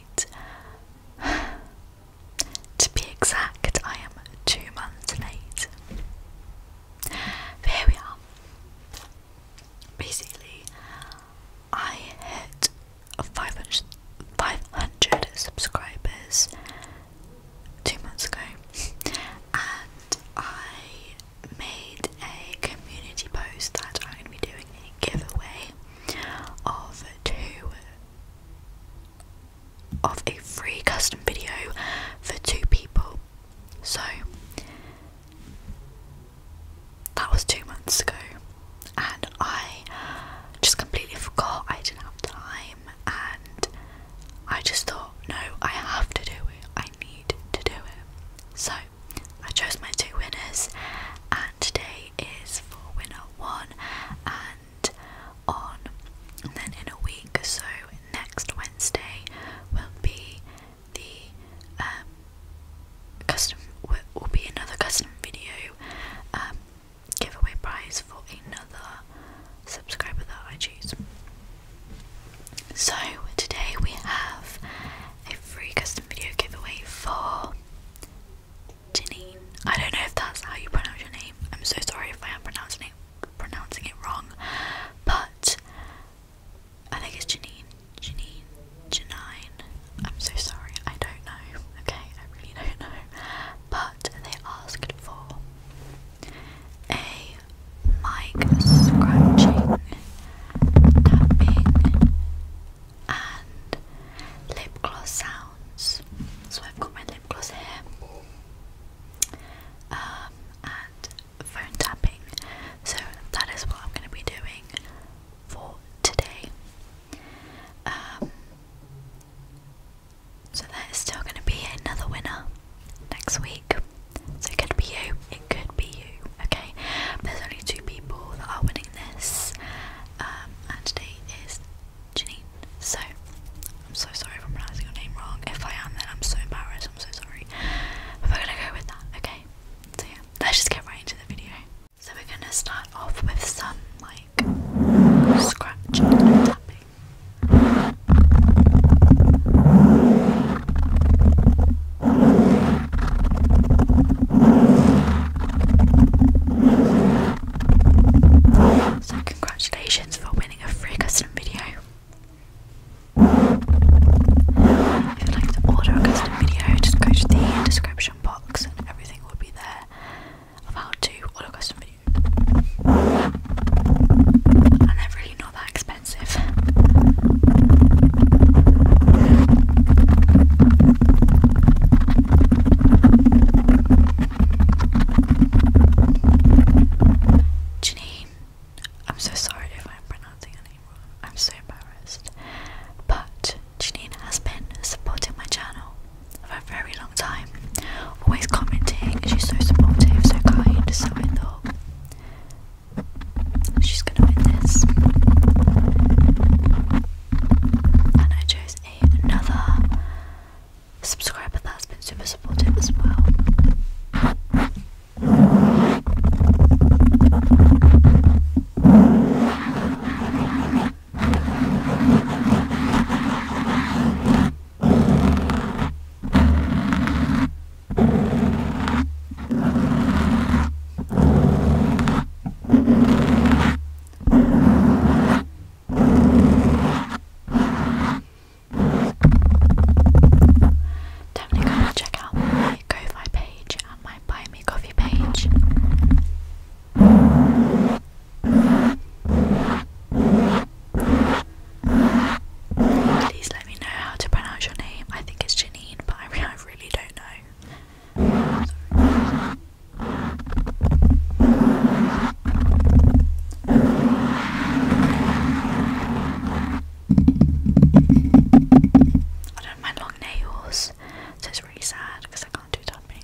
to be exact, I am two months late. But here we are. Basically, I hit 500, 500 subscribers two months ago, and I made a community post that I'm going to be doing a giveaway of two of a free custom video for two people. So that was two months ago, and I just completely forgot I didn't have time, and I just thought, no, I have to do it, I need to do it. So I chose my two winners, and today is for winner one, and on and then in a week, or so next Wednesday will be the um, custom will be another custom video um, giveaway prize for another subscriber that I choose. So today we have a free custom video giveaway for Janine. I don't know if that's how you pronounce your name. I'm so sorry if I am pronouncing it pronouncing it wrong. But I think it's Janine. Janine. Janine. I'm so sorry. I don't know. Okay, I really don't know. But they asked for a mic scratching, tapping, and lip gloss sounds. So I've got my lip gloss here, um, and phone tapping. So that is what I'm going to be doing for today. Um, so there is still going to be another winner next week. So it could be you, it could be you, okay? There's only two people that are winning this, um, and today is Janine. So I'm so sorry if I'm pronouncing your name wrong. If I am, then I'm so embarrassed, I'm so sorry. But we're gonna go with that, okay? So yeah, let's just get right into the video. So we're gonna start off with some like scratch and tapping. So, congratulations for winning a free custom video. If you'd like to order a custom video, just go to the description box and everything will be there of how to order a custom video. And they're really not that Janine, I'm so sorry if I'm pronouncing your name wrong. I'm so embarrassed. But Janine has been supporting my channel for a very long time always commenting. She's so supportive, so kind. So I thought she's gonna win this, and I chose another subscriber that's been super supportive as well. Definitely go check out my ko page and my Buy Me Coffee page. Please let me know how to pronounce your name. I think it's Janine, but I, really don't know. I don't mind long nails, so it's really sad because I can't do tapping.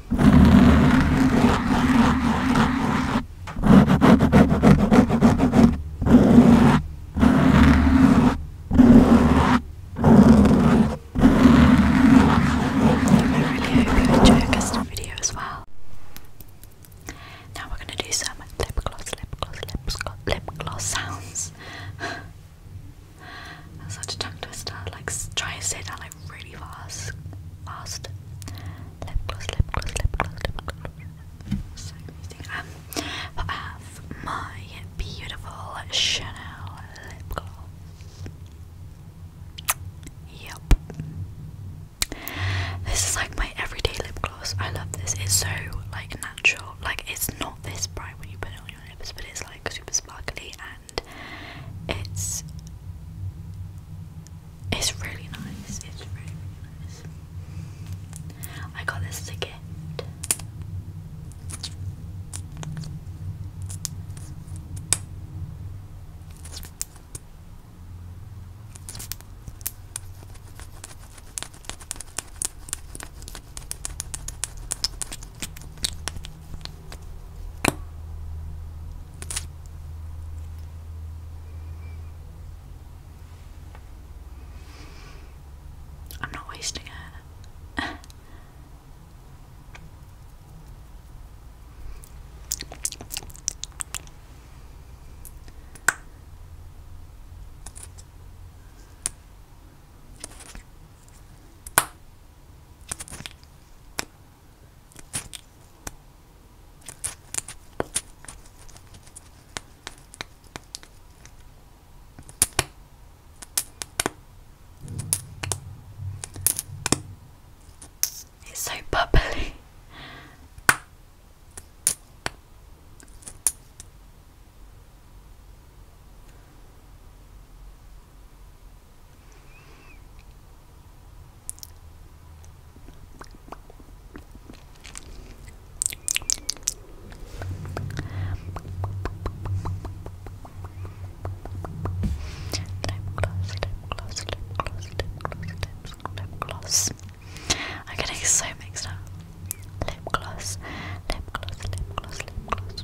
I really hope you enjoy this video as well. Now we're going to do some lip gloss, lip gloss, lip gloss, lip gloss sounds. That's such a tongue twister. Like, try and say that like really fast, fast. Lip gloss, lip gloss, lip gloss, lip gloss. So amazing. Um, I have my beautiful Chanel lip gloss. Yep. This is like my everyday lip gloss. I love this. It's so like natural. Like it's not this bright when you put it on your lips, but it's like super sparkly it's it's really nice. It's really, really nice. I got this as I'm not wasting it. It's so bubbly. I'm getting so mixed up lip gloss, lip gloss, lip gloss, lip gloss.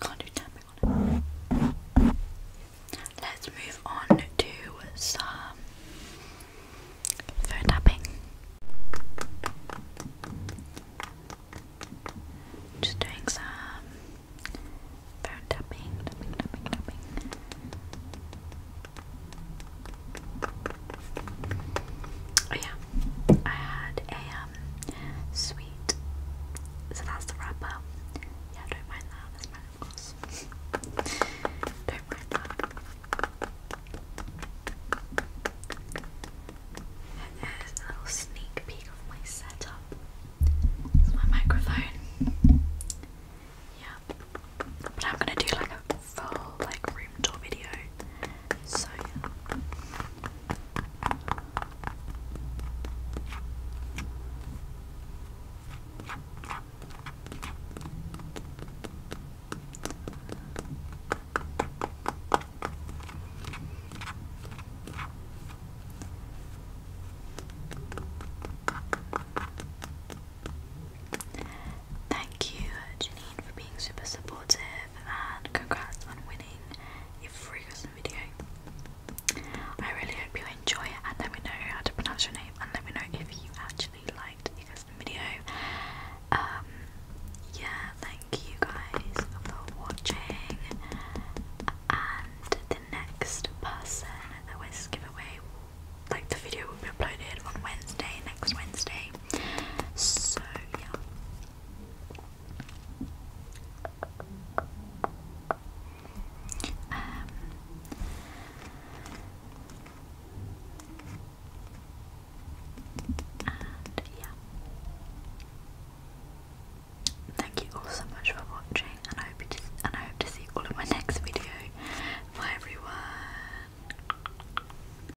Can't do tapping on it. Let's move on to some phone tapping. Just doing some phone tapping, oh, yeah, I had a um, sweet. So that's the wrap up. Yeah, don't mind that. don't mind that. And there's a little sneak peek of my setup. It's my microphone. Yeah. But I'm gonna do like a full like room tour video. Thank you, Janine, for being super supportive and congrats on winning signing a Freakson video. I really hope you enjoy it and let me know how to pronounce your name and let me know if you actually liked the video. Um, yeah, thank you guys for watching. And the next person that wins giveaway, like the video will be uploaded on Wednesday, next Wednesday. So yeah, Thank you all so much for watching, and I hope to, and I hope to see you all in my next video. Bye everyone.